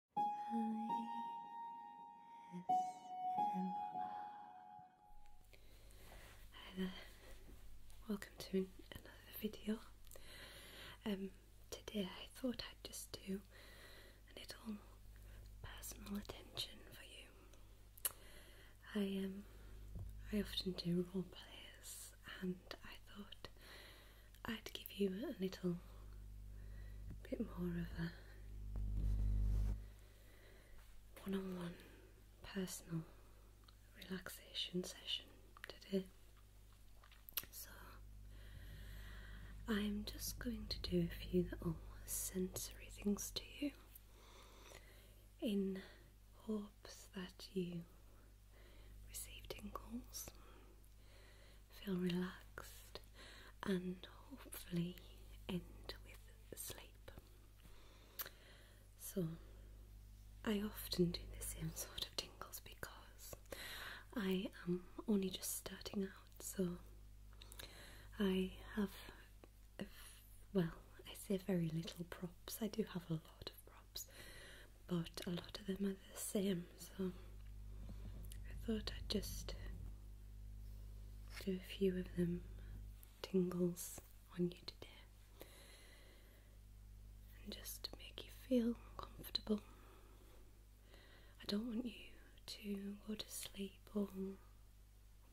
Hi there, welcome to another video. Um, today I thought I'd just do a little personal attention for you. I um, I often do role plays, and I thought I'd give you a little bit more of a one on one personal relaxation session today. So, I'm just going to do a few little sensory things to you in hopes that you received in tingles feel relaxed and hopefully end with sleep. So, I often do the same sort of tingles because I am only just starting out, so I have, well, I say very little props, I do have a lot of props, but a lot of them are the same, so I thought I'd just do a few of them tingles on you today and just to make you feel comfortable. I don't want you to go to sleep all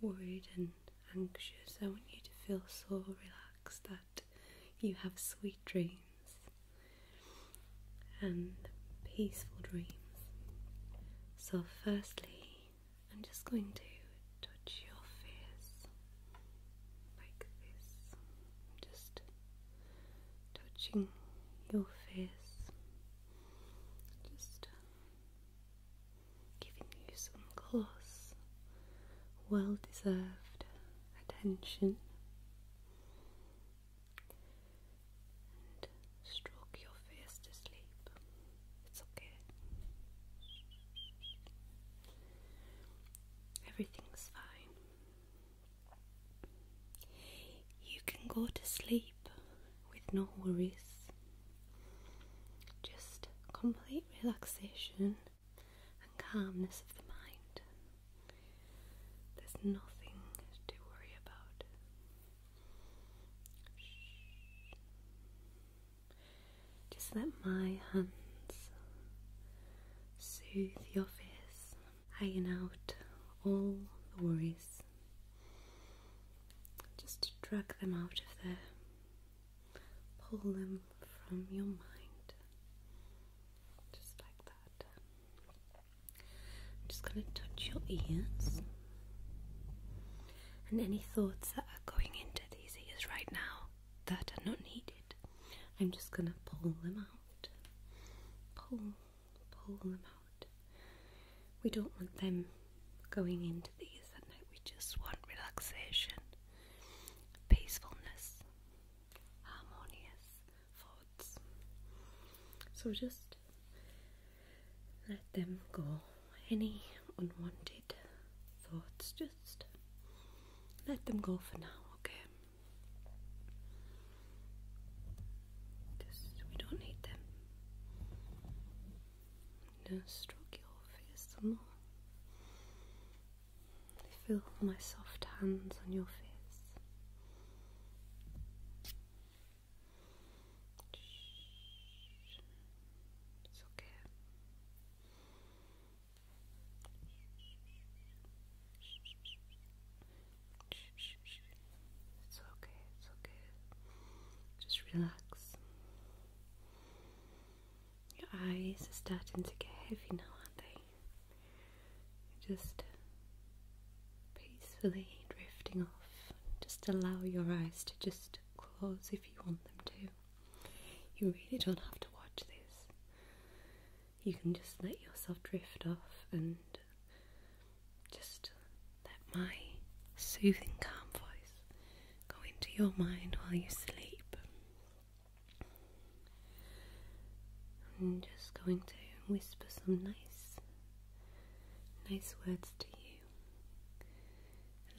worried and anxious. I want you to feel so relaxed that you have sweet dreams and peaceful dreams. So, firstly, I'm just going to touch your face like this, just touching your face, just giving you some close, well deserved attention stroke your face to sleep. It's okay. Everything's fine. You can go to sleep with no worries. Just complete relaxation and calmness of the mind. There's nothing to worry about. Just let my hands soothe your face, iron out all the worries. Just drag them out of there, pull them from your mind. Just like that. I'm just going to touch your ears. And any thoughts that are going into these ears right now that are not needed, I'm just going to pull them out. Pull, pull them out. We don't want them going into these we just want relaxation, peacefulness harmonious thoughts. So just let them go. Any unwanted thoughts, just let them go for now, okay? Just we don't need them. Now stroke your face some more feel my soft hands on your face. Shh. It's okay. It's okay, it's okay. Just Relax. Your eyes are starting to get heavy now, aren't they? Just peacefully drifting off. Just allow your eyes to just close if you want them to. You really don't have to watch this. You can just let yourself drift off and just let my soothing, calm voice go into your mind while you sleep. I'm just going to whisper some nice, nice words to you.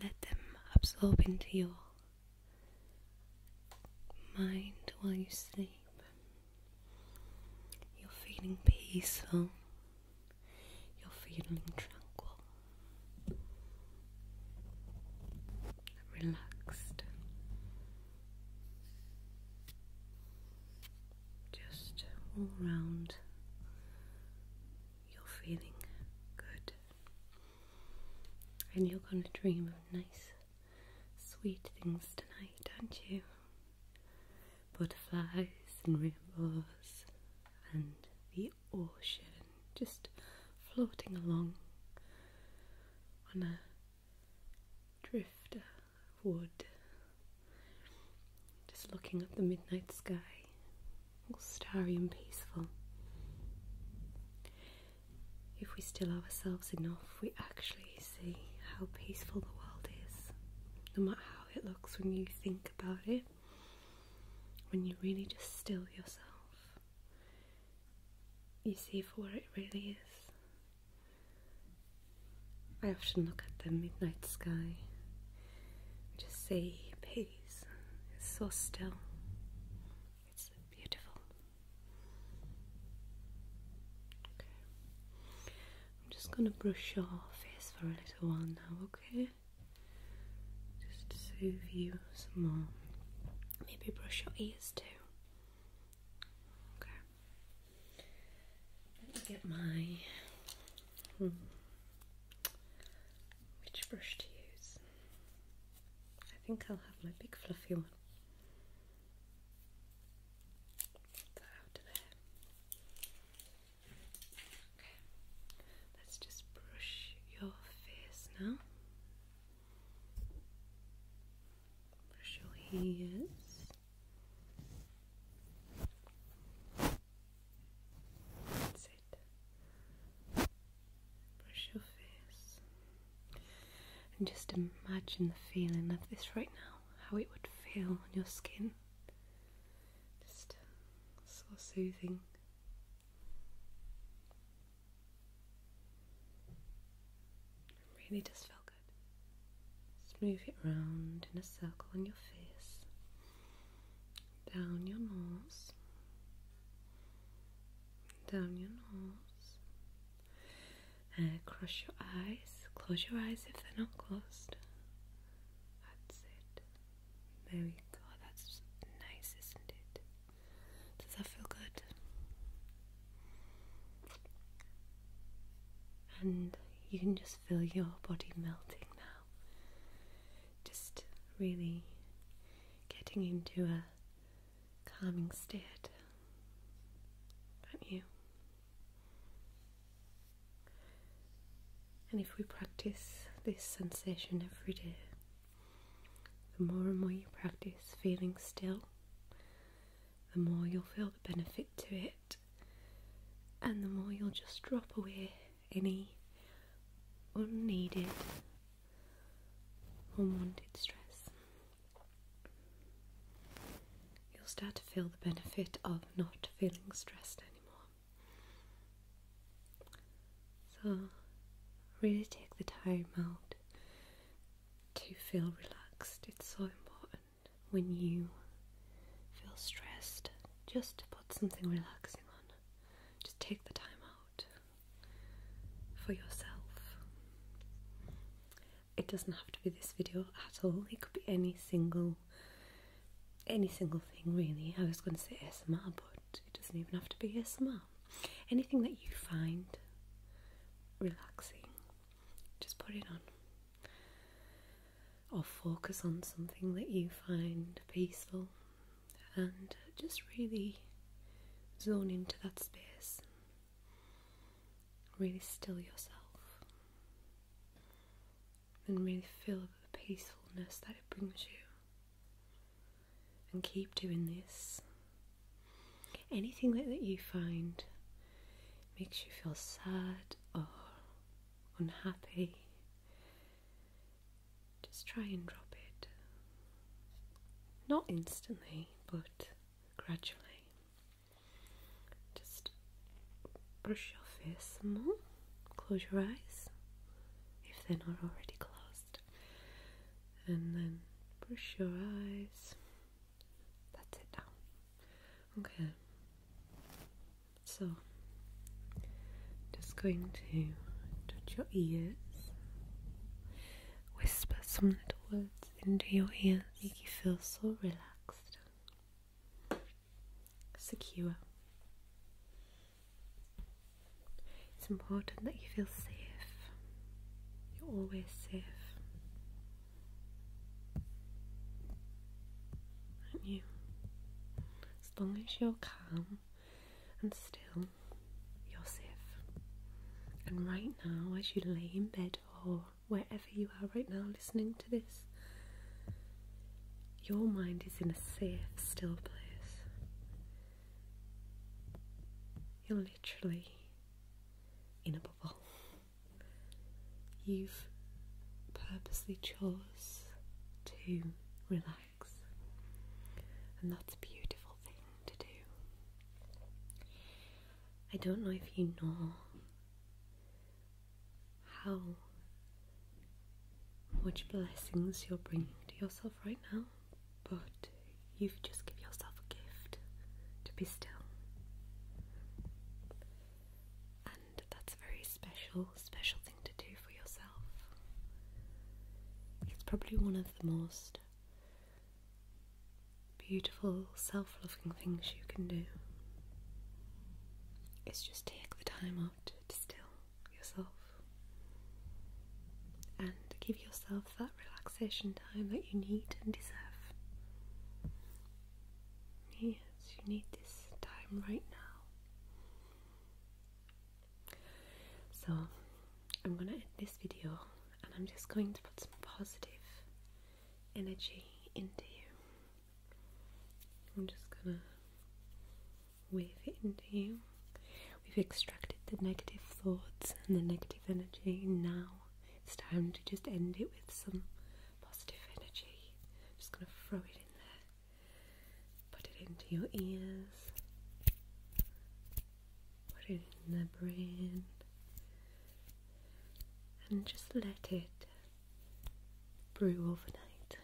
Let them absorb into your mind while you sleep. You're feeling peaceful, you're feeling tranquil relaxed, just all round, you're feeling good, and you're going to dream of nice, sweet things tonight, aren't you? Butterflies and rainbows and the the ocean, just floating along on a drifter of wood, just looking at the midnight sky, all starry and peaceful. If we still ourselves enough, we actually see how peaceful the world is, no matter how it looks when you think about it when you really just still yourself, you see for what it really is. I often look at the midnight sky, just see peace. It's so still. It's beautiful. Okay. I'm just gonna brush your face for a little while now, okay? just to soothe you some more. Maybe brush your ears too. Okay. Let me get my hmm, which brush to use. I think I'll have my big fluffy one. Put that out of there let's just brush your face now. Brush your ears. That's it. Brush your face. And just imagine the feeling of this right now, how it would feel on your skin. Just so soothing really does feel good. Smooth it round in a circle on your face, down your nose, down your nose, and cross your eyes. Close your eyes if they're not closed. That's it. There we oh, That's nice, isn't it? Does that feel good? And you can just feel your body melting now. Just really getting into a calming state. Aren't you? And if we practice this sensation every day, the more and more you practice feeling still, the more you'll feel the benefit to it, and the more you'll just drop away any unneeded, unwanted stress. You'll start to feel the benefit of not feeling stressed anymore. So, really take the time out to feel relaxed. It's so important when you feel stressed just to put something relaxing on. Just take the time out for yourself. It doesn't have to be this video at all, it could be any single any single thing really. I was going to say S.M.R., but it doesn't even have to be S.M.R. Anything that you find relaxing, just put it on. Or focus on something that you find peaceful and just really zone into that space. Really still yourself and really feel the peacefulness that it brings you. And keep doing this. Anything that, that you find makes you feel sad or unhappy, just try and drop it. Not instantly, but gradually. Just brush your face some more. Close your eyes if they're not already closed. And then brush your eyes. That's it now. Okay. So, just going to touch your ears, whisper some little words into your ears, make you feel so relaxed secure. It's important that you feel safe. You're always safe. Aren't you? As long as you're calm and still, you're safe. And right now, as you lay in bed or wherever you are right now listening to this, your mind is in a safe, still place. You're literally in a bubble. You've purposely chose to relax, and that's a beautiful thing to do. I don't know if you know how much blessings you're bringing to yourself right now, but you have just give yourself a gift to be still. And that's a very special, special thing to do for yourself. It's probably one of the most beautiful, self loving things you can do is just take the time out to still yourself and give yourself that relaxation time that you need and deserve. Yes, you need this time right now. So, I'm going to end this video and I'm just going to put some positive energy into you. I'm just gonna wave it into you. We've extracted the negative thoughts and the negative energy. Now it's time to just end it with some positive energy. just gonna throw it in there, put it into your ears, put it in the brain, and just let it brew overnight.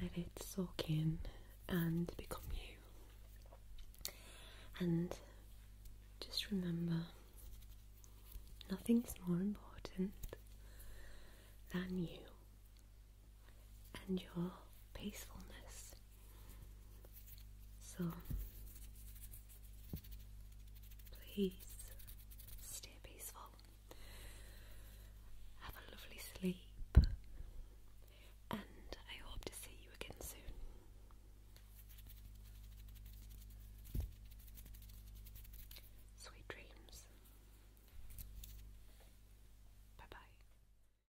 Let it soak in and become you. And just remember nothing's more important than you and your peacefulness so please stay peaceful. Have a lovely sleep. And I hope to see you again soon. Sweet dreams. Bye bye.